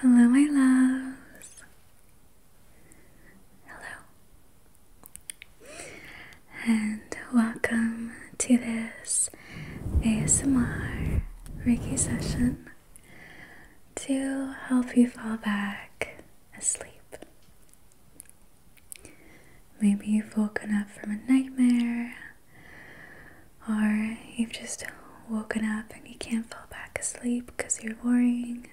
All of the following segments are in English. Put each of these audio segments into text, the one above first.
Hello, my loves. Hello. And welcome to this ASMR Reiki session to help you fall back asleep. Maybe you've woken up from a nightmare or you've just woken up and you can't fall back asleep because you're worrying,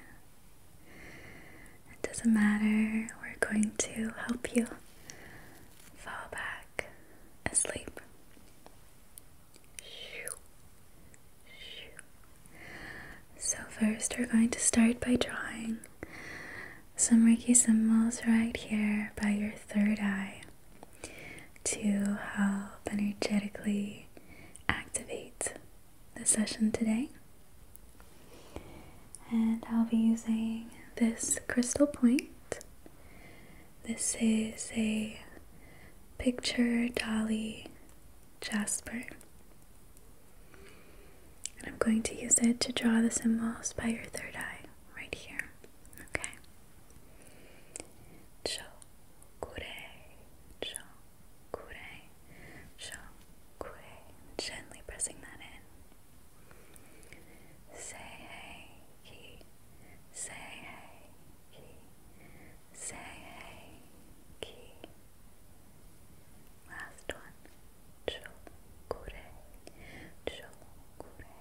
it doesn't matter. We're going to help you fall back asleep. So, first, we're going to start by drawing some Reiki symbols right here by your third eye to help energetically activate the session today. And I'll be using this crystal point. This is a picture dolly jasper. And I'm going to use it to draw the symbols by your third eye right here. Okay. So kure, shang, kure, shang, kure. Gently pressing that in. Say ki, say ki, say ki. Last one. Chokure, chokure,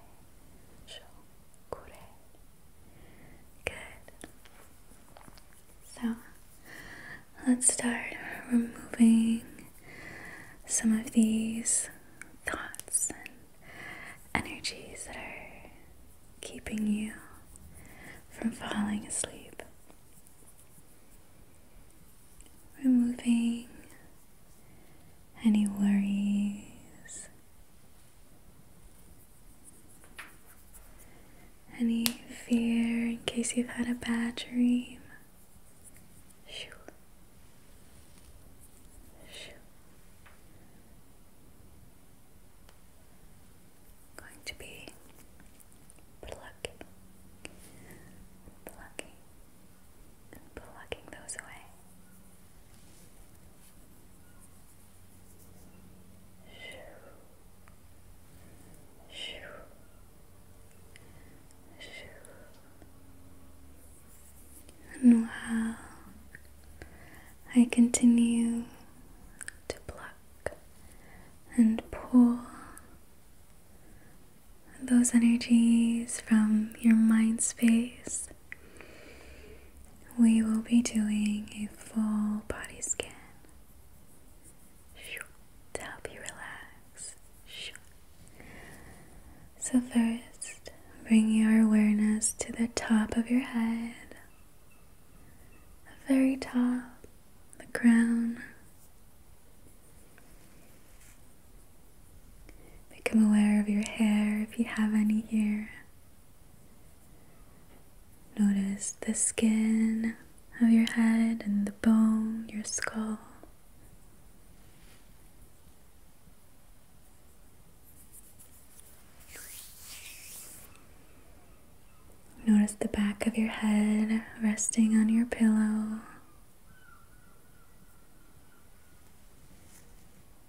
chokure, Good. So let's start removing some of these thoughts and energies that are keeping you from falling asleep. Removing any worries, any fear in case you've had a bad dream? Shoo. Shoo. Going to be plucking, plucking, and those away. Shoo. I continue to pluck and pull those energies from your mind space we will be doing a full body scan to help you relax. So, first, bring your awareness to the top of your head, the very top, the crown. Become aware of your hair if you have any here. Notice the skin of your head and the bone, your skull. Notice the back of your head resting on your pillow.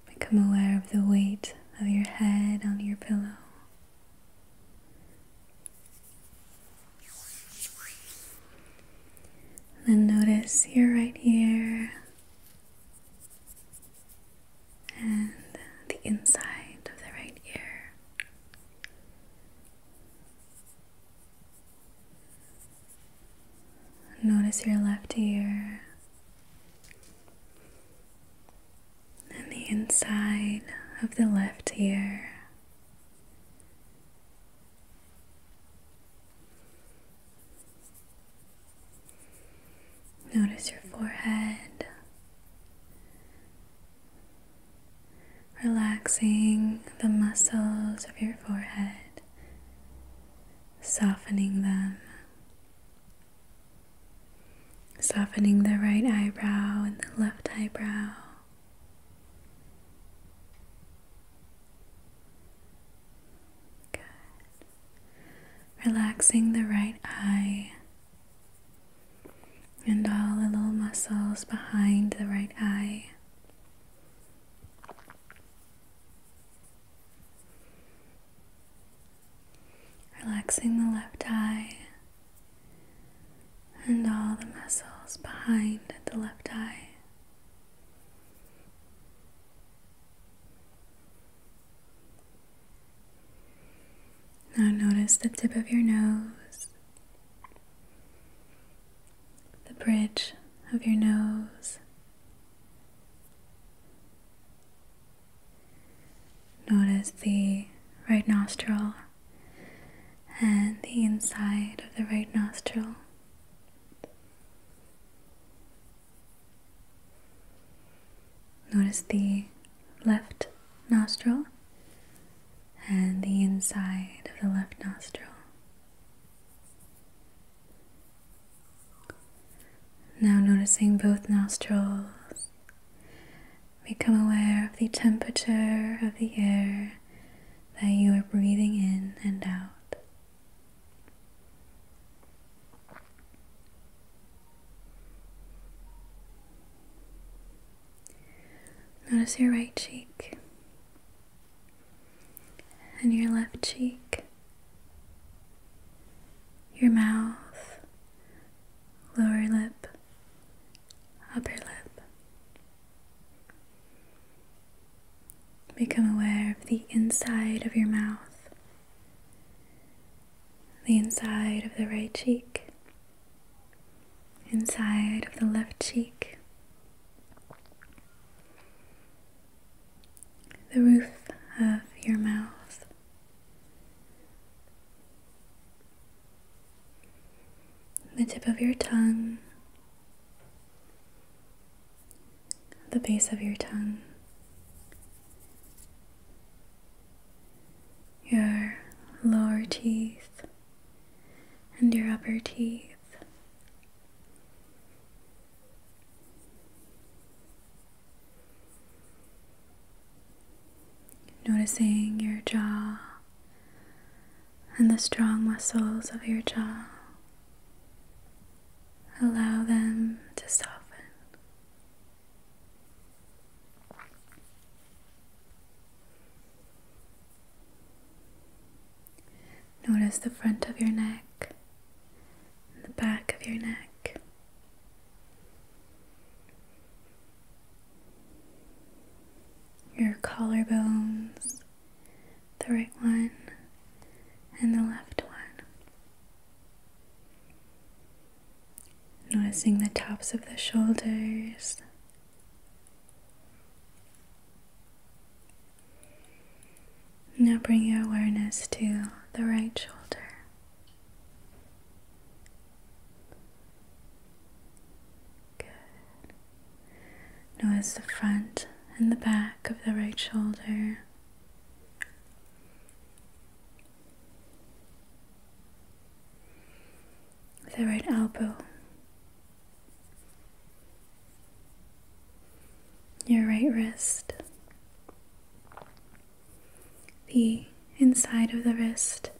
Become aware of the weight of your head on your pillow. Then notice your right ear and the inside of the right ear. Notice your left ear and the inside of the left ear. Notice your forehead relaxing the muscles of your forehead softening them, softening the right eyebrow and the left eyebrow. Good. Relaxing the right eye and all the little muscles behind the right eye. Relaxing the left eye and all the muscles behind the left eye. Now notice the tip of your nose the bridge of your nose. Notice the right nostril and the inside of the right nostril. Notice the left nostril and the inside of the left nostril. Now, noticing both nostrils, become aware of the temperature of the air that you are breathing in and out. Notice your right cheek and your left cheek, your mouth, lower lip, upper lip. Become aware of the inside of your mouth, the inside of the right cheek, inside of the left cheek, the roof of your mouth. The tip of your tongue, the base of your tongue, your lower teeth, and your upper teeth. Noticing your jaw and the strong muscles of your jaw. Allow them to soften. Notice the front of your neck and the back of your neck. Your collarbones, the right one and the left one. Noticing the tops of the shoulders. Now bring your awareness to the right shoulder. Notice the front and the back of the right shoulder. The right elbow your right wrist, the inside of the wrist,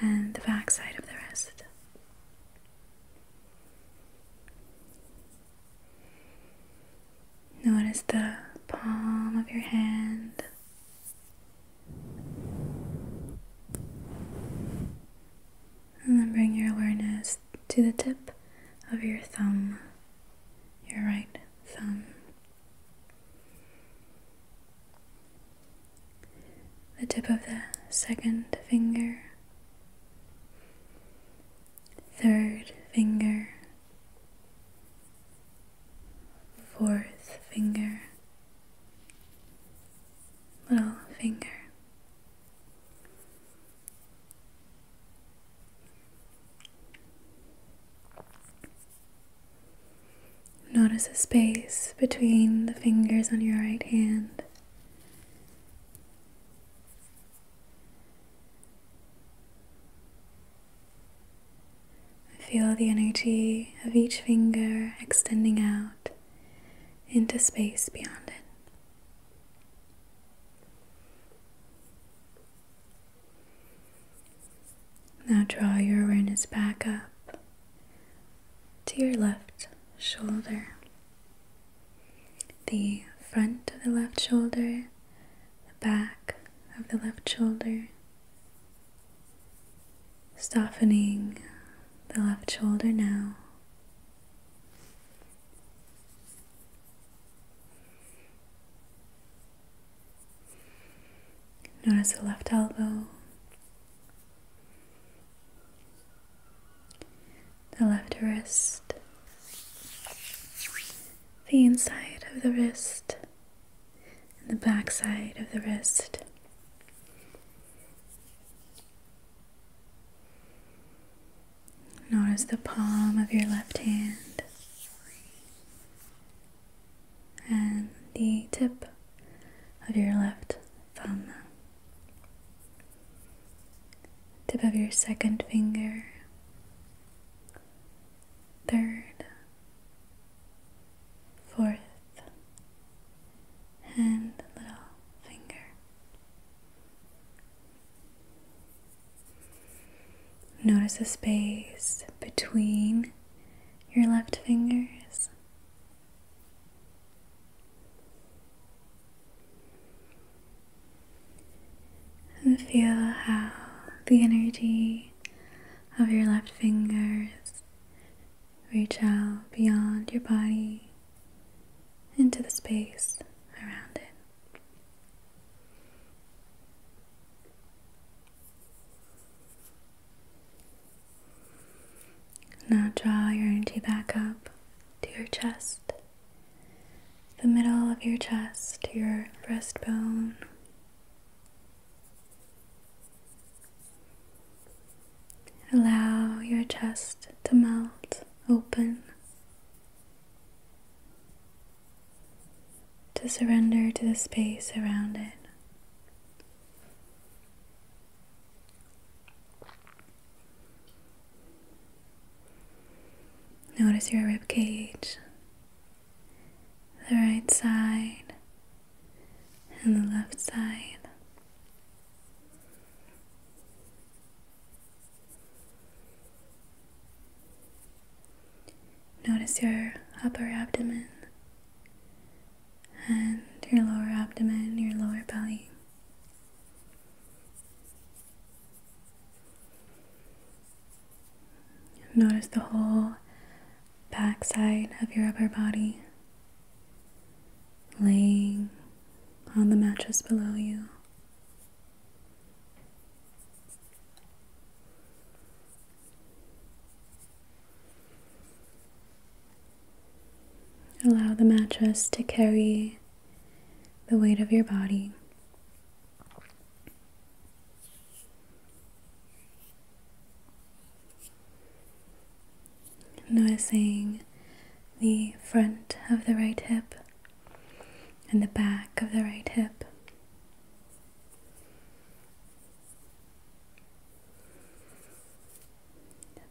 and the backside of the wrist. Notice the palm of your hand. And then bring your awareness to the tip of your thumb, your right thumb. The tip of the second finger, third finger, fourth finger, little finger. Notice the space between the fingers on your right hand. Feel the energy of each finger extending out into space beyond it. Now draw your awareness back up to your left shoulder. The front of the left shoulder, the back of the left shoulder, softening the left shoulder now. Notice the left elbow, the left wrist, the inside of the wrist, and the backside of the wrist. Notice the palm of your left hand and the tip of your left thumb, tip of your second finger, third, fourth and little finger. Notice the space between your left fingers. And feel how the energy of your left fingers Reach out beyond your body into the space around it. Now draw your energy back up to your chest, the middle of your chest, to your breastbone, Allow your chest to melt open, to surrender to the space around it. Notice your rib cage, the right side, and the left side. Notice your upper abdomen and your lower abdomen, your lower belly. Notice the whole backside of your upper body, laying on the mattress below you. Allow the mattress to carry the weight of your body. Noticing the front of the right hip and the back of the right hip.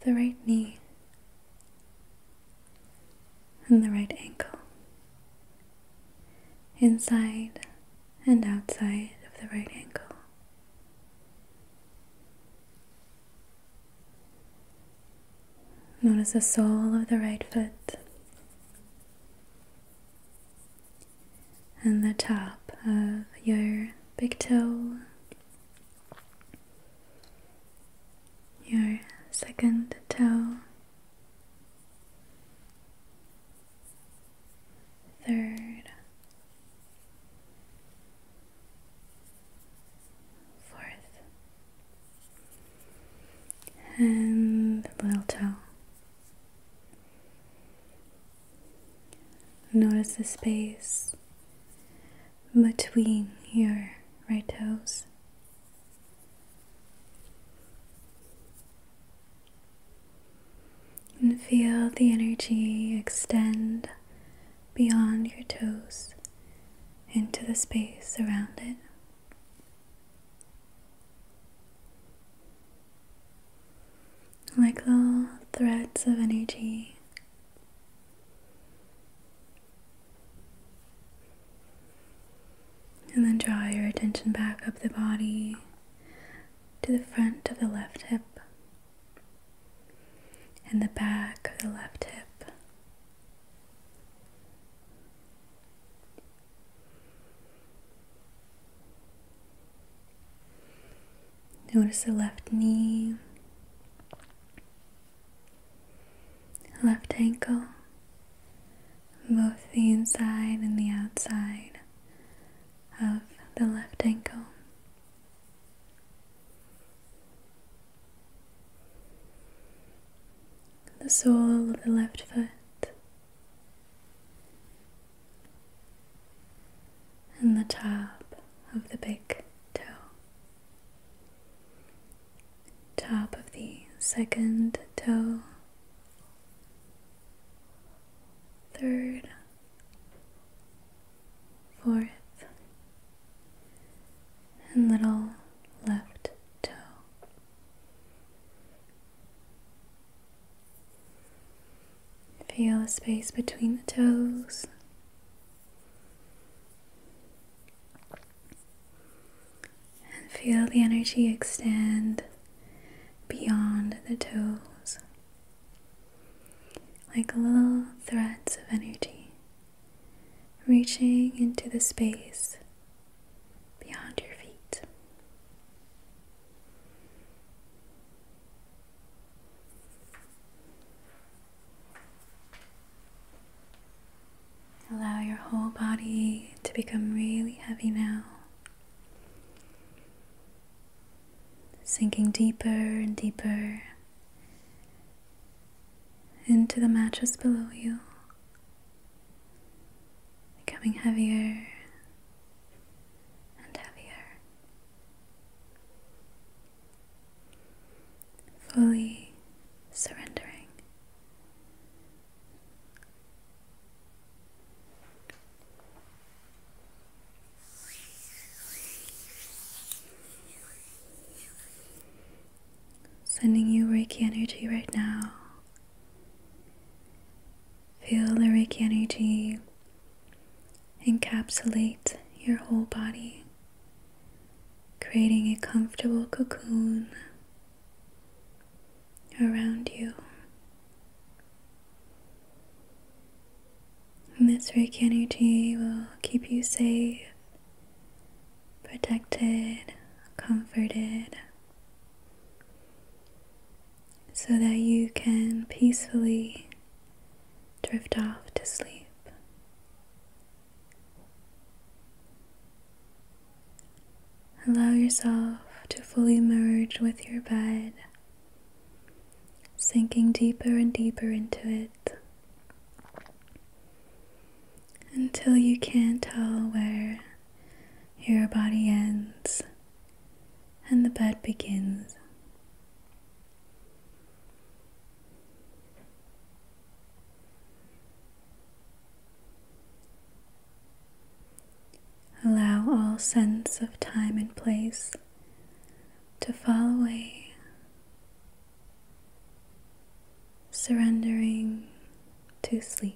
The right knee and the right ankle, inside and outside of the right ankle. Notice the sole of the right foot and the top of your big toe, your second toe, third, fourth, and little toe. Notice the space between your right toes. And feel the energy extend beyond your toes into the space around it. Like little threads of energy. And then draw your attention back up the body to the front of the left hip and the back of the left hip. Notice the left knee, left ankle, both the inside and the outside of the left ankle. The sole of the left foot. And the top of the big toe, top of the second toe, third, fourth, and little left toe. Feel the space between the toes and feel the energy extend beyond the toes like little threads of energy reaching into the space beyond your feet. Allow your whole body to become really heavy now. Sinking deeper and deeper into the mattress below you, becoming heavier and heavier, fully surrendering Sending you Reiki energy right now. Feel the Reiki energy encapsulate your whole body, creating a comfortable cocoon around you. And this Reiki will keep you safe, protected, comforted, so that you can peacefully drift off to sleep. Allow yourself to fully merge with your bed, sinking deeper and deeper into it until you can't tell where your body ends and the bed begins. Allow all sense of time and place to fall away, surrendering to sleep.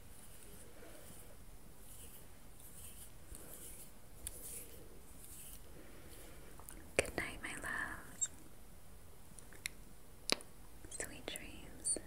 Good night, my love. Sweet dreams.